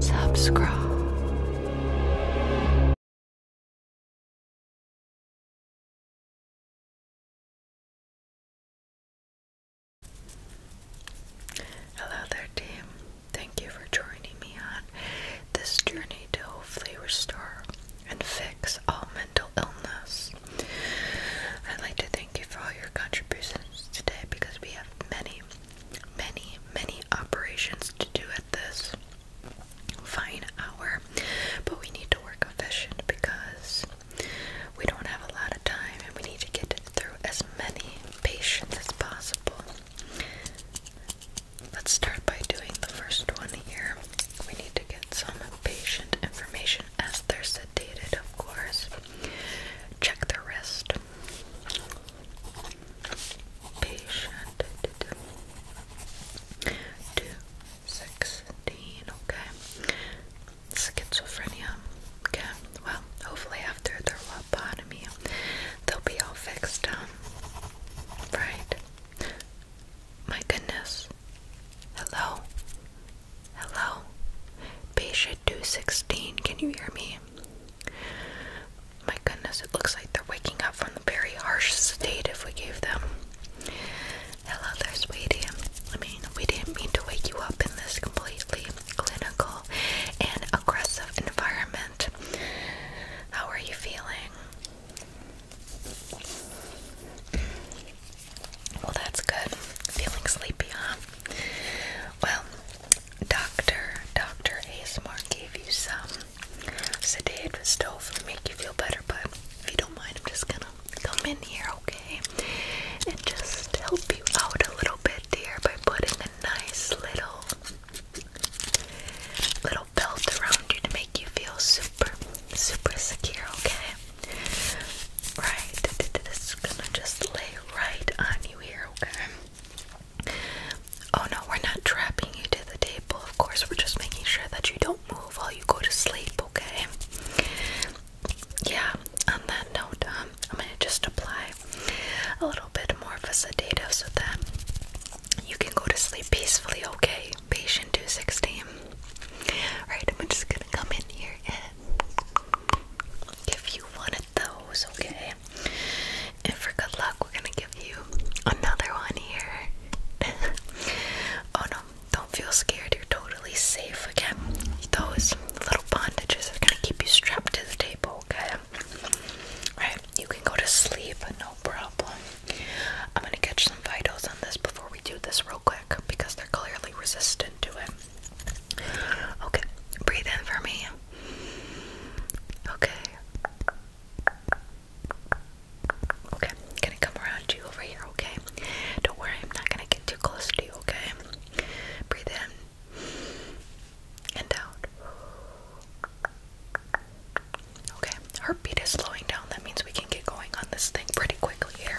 subscribe. Hello there, team. Thank you for joining me on this journey to hopefully restore and fix all mental illness. I'd like to thank you for all your contributions today because we have many, many, many operations to do at this fine hour, but we need to work efficient because we don't have a lot of time and we need to get through as many patients as possible. Let's start by doing the first one here. We need to get some patient information as they're sedated, of course. Check the wrist. Patient two sixteen, okay. Schizophrenia. Okay. Well, hopefully after their lobotomy, they'll be all fixed up. Um, right? My goodness. Hello? Hello? Patient 216, can you hear me? My goodness, it looks like they're waking up from the very harsh sedative we gave them. Hello there, sweetie. I mean, we didn't mean to wake you up in this completely clinical and aggressive environment. How are you feeling? Well, that's good. Feeling sleepy, huh? Well, Doctor Doctor Asmar gave you some sedative stuff to make you feel better, but if you don't mind, I'm just gonna come in here, okay? And just help you out a little bit, dear, by putting a nice little little belt around you to make you feel super, super secure, okay? Right, this is gonna just lay right on you here, okay? Oh no, we're not trapping you to the table, of course, we're just making sure that you don't move while you go to sleep, okay? Yeah, on that note, um, I'm gonna just apply a little bit more of a sedative so that you can go to sleep peacefully, okay? Patient 216. Right, I'm just gonna come in here and give you one of those, okay? And for good luck, we're gonna give you another one here. oh no, don't feel scared, you're totally safe again. Those little bondages are gonna keep you strapped to the table, okay? Alright, you can go to sleep, no problem. I'm gonna catch some vitals on this before we do this real quick because they're clearly resistant to it. Okay, breathe in for me. Okay. Okay, gonna come around you over here, okay? Don't worry, I'm not gonna get too close to you, okay? Breathe in and out. Okay, heartbeat is slowing down. That means we can get going on this thing pretty quickly here.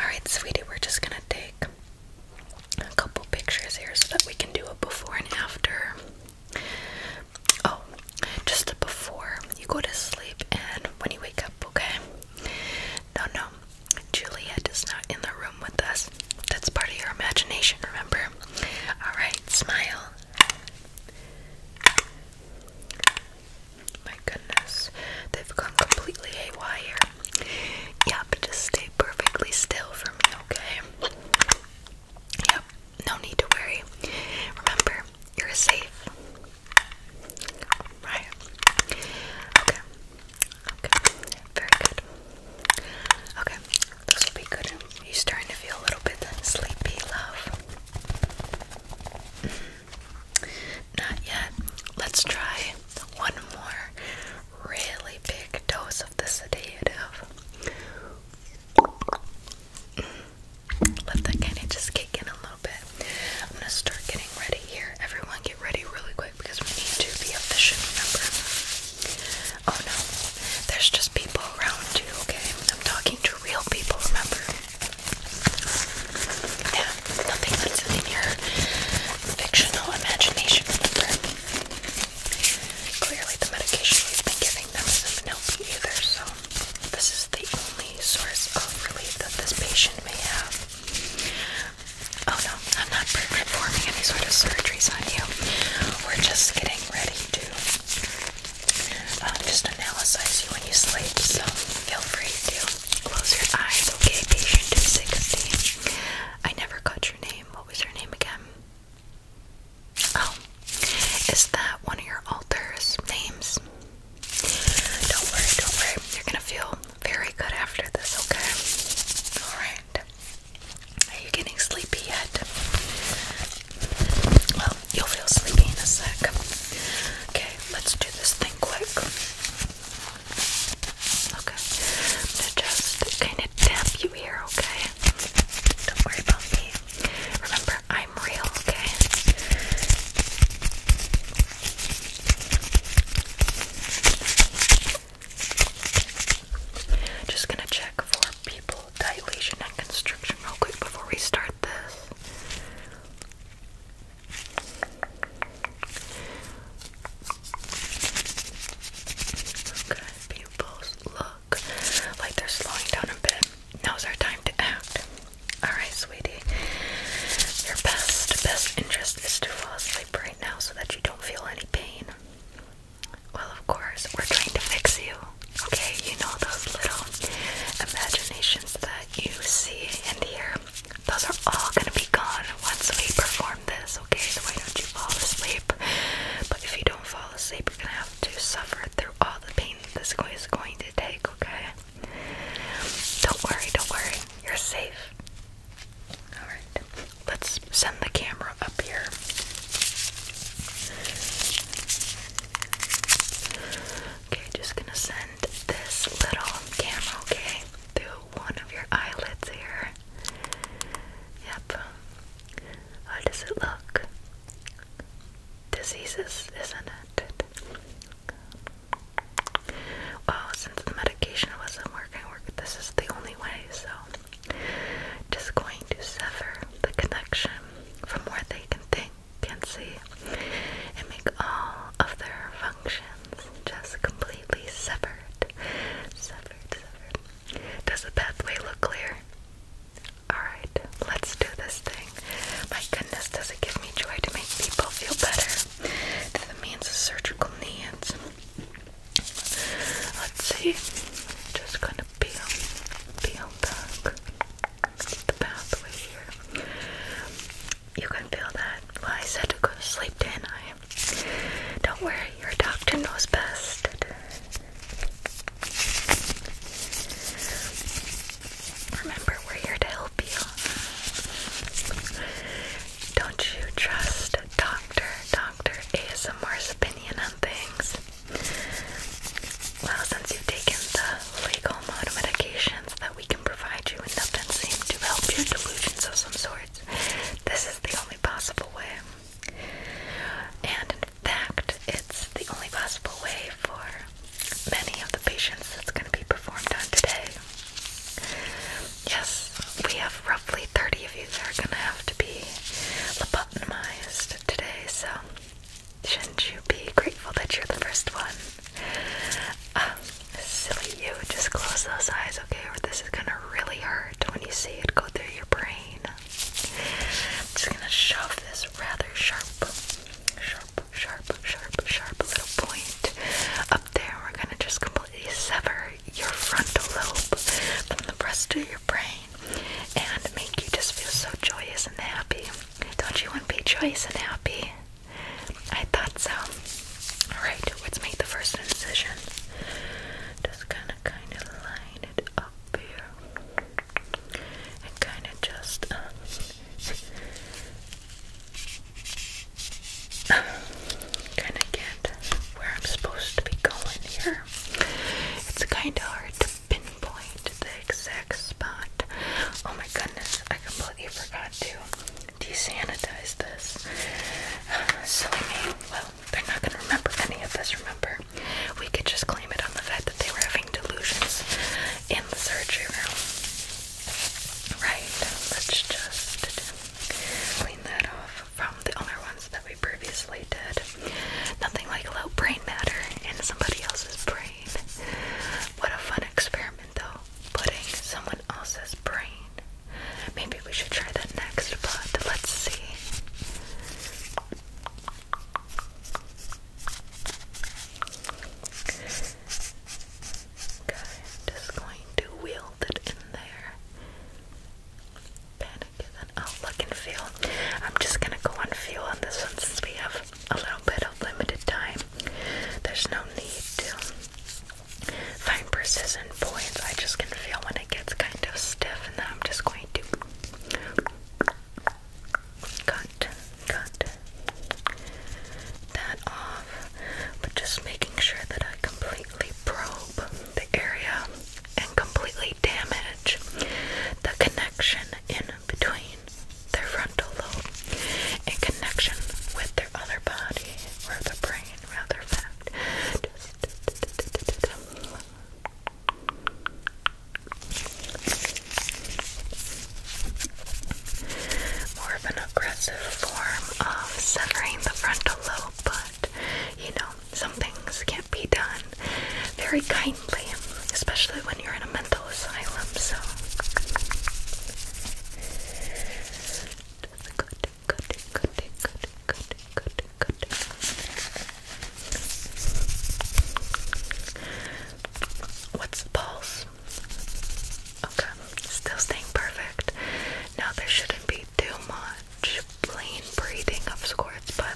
Alright, sweetie, we're just gonna take a couple pictures here so that we can do a before and after. Oh, just the before you go to sleep and when you wake up, okay? No, no, Juliet is not in the room with us. That's part of your imagination, remember? Alright, smile. My goodness, they've gone completely haywire. Yep, just stay perfectly still for me, okay? Yep, no need to worry. Remember, you're safe. Right. Okay. Okay, very good. Okay, this will be good. you starting to feel a little bit sleepy, love. Mm-hmm. Not yet. Let's try one more really big dose of the sedative. Mm. Let that kind of just kick in a little bit. I'm gonna start getting ready here. Everyone, ready really quick because we need to be efficient, remember? Oh no, there's just people around you, okay? I'm talking to real people, remember? Yeah, nothing that's in your fictional imagination, remember? Clearly, the medication we've been giving them isn't helping either, so this is the only source of relief that this patient may have. Oh no, I'm not performing any sort of surgeries on you. We're just getting ready to um, just analyze you when you sleep, so feel free to close your eyes, okay? Patient 260. I never got your name. What was your name again? Oh, is that one of your author's names? Don't worry, don't worry. You're gonna feel very good after this, okay? Alright. Are you getting sleepy yet? Well, you'll feel sleepy in a sec. Okay, let's do this thing quick. Okay. I'm gonna just you here, okay? Don't worry about me. Remember, I'm real, okay? Just gonna check for people dilation and constriction real quick before we start this. Okay, pupils look like they're slowing down a bit. Now's our time to act. Alright, sweetie. Your best, best interest is to fall asleep now so that you don't feel any pain? Well, of course, we're trying to fix you. Okay, you know those little imaginations that you see in the air? Those are all gonna be gone once we perform this, okay? So why don't you fall asleep? But if you don't fall asleep, you're gonna have to suffer through all the pain that this is going to take, okay? Don't worry, don't worry. You're safe. Alright, let's send the camera up here. Okay, just gonna send this little camera, okay, through one of your eyelids here. Yep. How does it look? Diseases, isn't it? Well, since the medication wasn't working, this is the only way, so just going to sever the connection from where they can think, can see, and make all of their functions just completely severed. Severed, severed. Does the pathway look clear? Alright, let's do this thing. My goodness. This does it give me joy to make people feel better It means man's surgical needs. Let's see. Just gonna peel, peel back the pathway here. You can feel that. I said to go to sleep, did I? Don't worry, your doctor knows best. Remember, we're here to help you. Don't you trust Dr. Dr. ASMR's opinion on things? Well, since you've taken the legal mode medications that we can provide you and nothing seems to help your delusions of some sorts, this is the only possible way. And in fact, it's the only possible way for many of the patients that's going to be performed on today. Yes, we have roughly 30 of you that are going to have to be lobotomized today, so shouldn't you be grateful that you're the first one? Um, silly you, just close those eyes, okay? Or this is going to really hurt when you see it go through your brain. I'm just going to shove this rather sharp, sharp sharp, sharp, sharp little point up there. We're gonna just completely sever your frontal lobe from the rest of your brain and make you just feel so joyous and happy. Don't you want to be joyous and happy? I thought so. Alright, let's make the first incision. Just gonna kind of line it up here. And kind of just um, kind of get where I'm supposed to be going here. It's kind of hard to pinpoint the exact spot. Oh my goodness, I completely forgot to desanitize this. silly me. Well, they're not going to remember any of this, remember? We could just claim it on the fact that they were having delusions in the surgery room. Right, let's just clean that off from the other ones that we previously did. Nothing like low brain matter in somebody else's brain. What a fun experiment, though, putting someone else's brain. Maybe we should try that next, but let's see. Okay, I'm just going to wield it in there. Panic then I'll look and feel. I'm just gonna go on feel on this one since we have a little bit of limited time. There's no need to find precision points. I just can feel when it gets kind of stiff, and then I'm just going to cut, cut that off, but just making sure that I completely probe the area and completely damage the connection in between their frontal lobe in connection with their other body or the brain, rather fact. More of an aggressive form of severing the frontal lobe, but you know, some things can't be done very kindly, especially when you're in a mental asylum, so. What's the pulse? Okay, still staying perfect. Now there shouldn't be too much plain breathing of sorts, but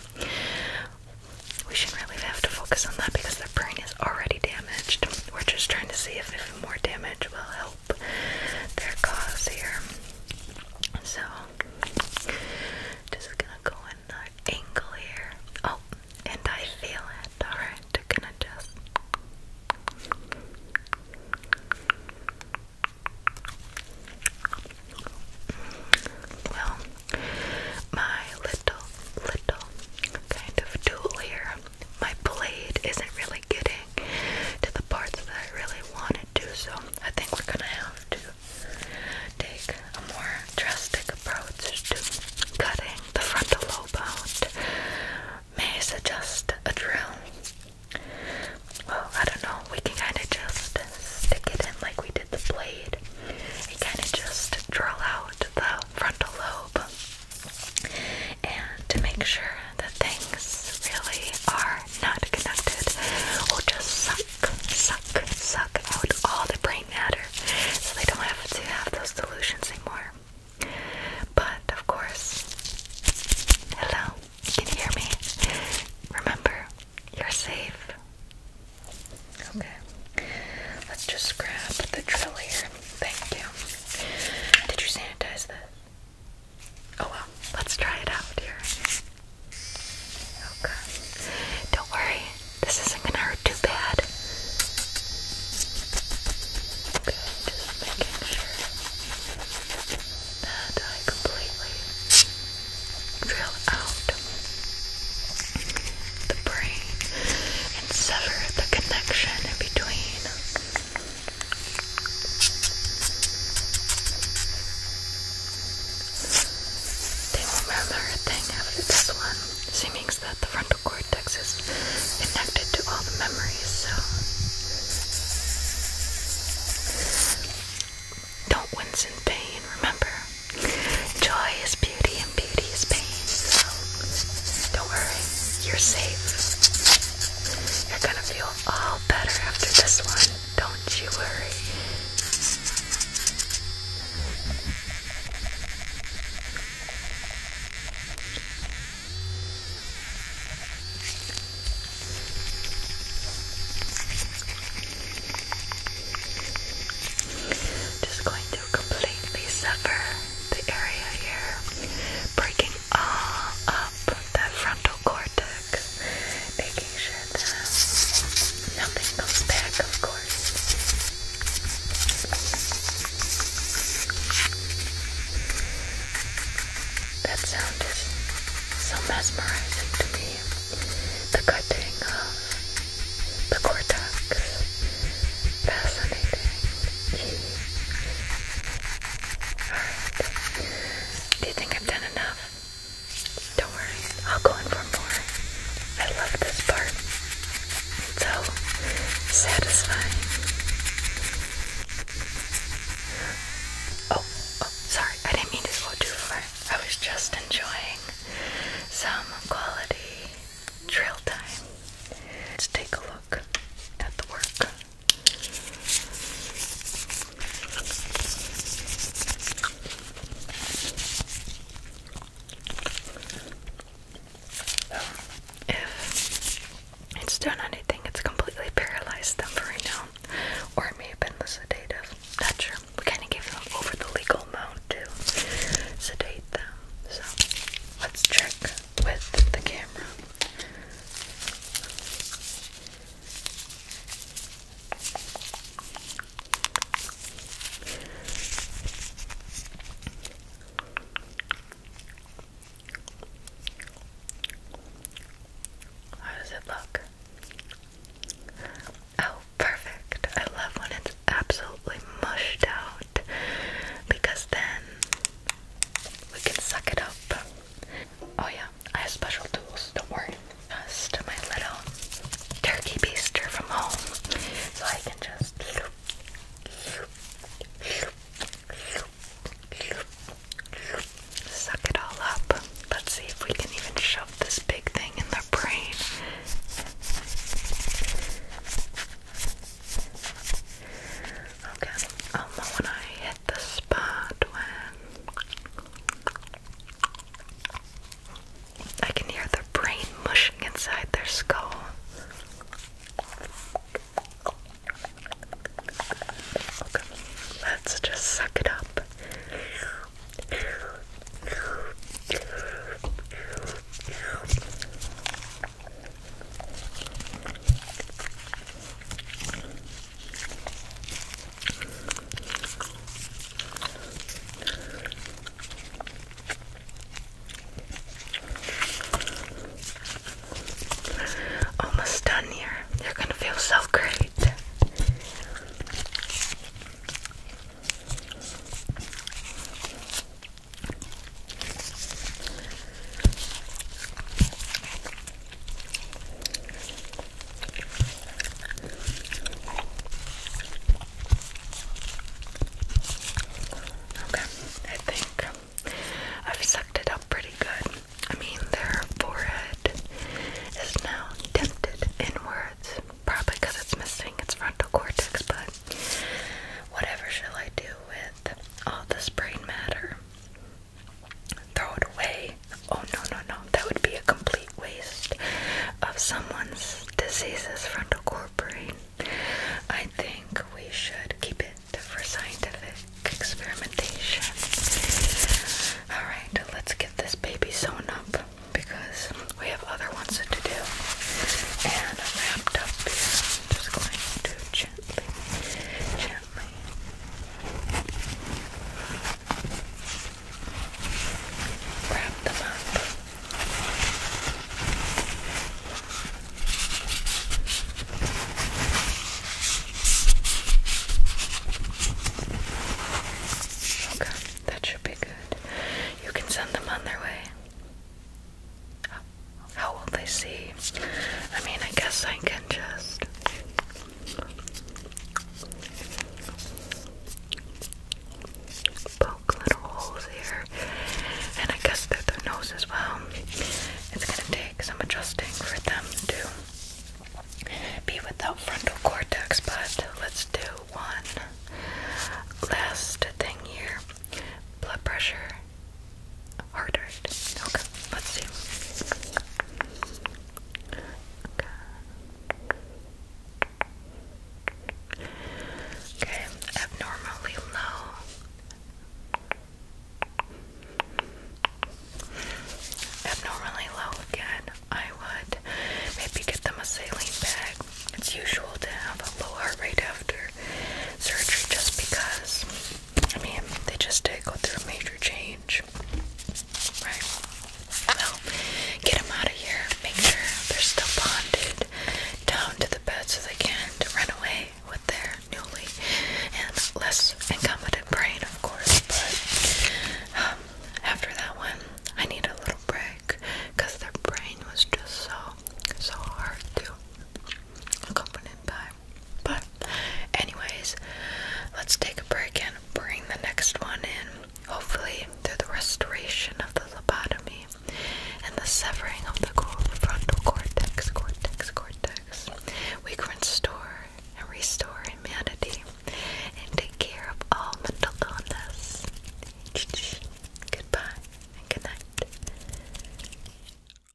we shouldn't really have to focus on that because their brain is already damaged. We're just trying to see if more damage will help their cause here. So, just gonna go in that angle here. Oh, and I feel it. Alright, gonna just. Well, my little, little kind of tool here, my blade isn't really getting to the parts that I really want it to, so I think we're gonna have to take a more drastic approach to cutting the frontal lobe may suggest a drill? Well, I don't know, we can kind of just stick it in like we did the blade. You kind of just drill out the frontal lobe. And to make sure that things really are not connected, we just suck, suck out all the brain matter so they don't have to have those delusions anymore. But of course, hello, can hear me? Remember, you're safe. Okay, let's just grab the drill Thank you. Did you sanitize this? Oh well, let's try it out here. Okay. Don't worry, this isn't gonna hurt too bad. just making sure that I completely drill out the brain and sever the connection in between. They will remember a thing after this one. She that the frontal cortex is connected to all the memories, so don't wince in pain, remember. Joy is beauty and beauty is pain, so don't worry, you're safe. You're gonna feel all better after this one, don't you worry. Just going to completely sever the area here, breaking all up that frontal cortex making sure that nothing comes back, of course. That sound is so mesmerizing to me. The cutting of the cortex. Fascinating. Alright. Do you think I've done enough? Don't worry, I'll go in for more. I love this part. so satisfying. Oh, oh, sorry, I didn't mean to go too far. I was just enjoying some quality drill time. Let's take a look at the work. If it's done anything, it's completely paralyzed them for right now. Or it may have been the sedative. Not sure. We kind of gave them over the legal amount to sedate them. So let's check with the camera. How does it look? Oh, perfect. I love when it's absolutely mushed out because then we can suck it up. Oh yeah, I have special tools, don't worry. Just my little turkey baster from home. So I can just suck it all up. Let's see if we can even shove this big thing in the brain. Okay, um, when I the spot when I can hear their brain mushing inside their skull. let's just suck it up. Almost done here. You're going to feel so great. Okay, I think I've sucked it up pretty good. I mean, their forehead is now dented inwards, probably because it's missing its frontal cortex, but whatever shall I do with all this brain matter? throw it away. Oh no, no, no, that would be a complete waste of someone's diseases frontal core brain. I think we should keep it for scientific experimentation. Alright, let's get this baby sewn up because we have other ones to do. And wrapped up here, I'm just going to gently, gently. Wrap them up. Okay, that should be good. You can send them on their way. How will they see? I mean, I guess I can just Poke little holes here, and I guess through their nose as well. It's gonna take some adjusting for them to be without frontal cortex, but let's do one last thing here blood pressure Hard right? Okay, let's see. Okay, abnormally low. Abnormally low again. I would maybe get them a saline bag. It's usual to have a low heart rate after surgery just because I mean, they just go through a major change. Right? Well, get them out of here. Make sure they're still bonded down to the bed so they can't run away with their newly and less incompetent brain, of course. But um, after that one, I need a little break because their brain was just so, so hard to accompany by. But, anyways, let's take a break and bring the next one in. Hopefully, through the restoration of the lobotomy and the severing of the frontal cortex, cortex, cortex, we can restore and restore humanity and take care of all mental illness. Goodbye and good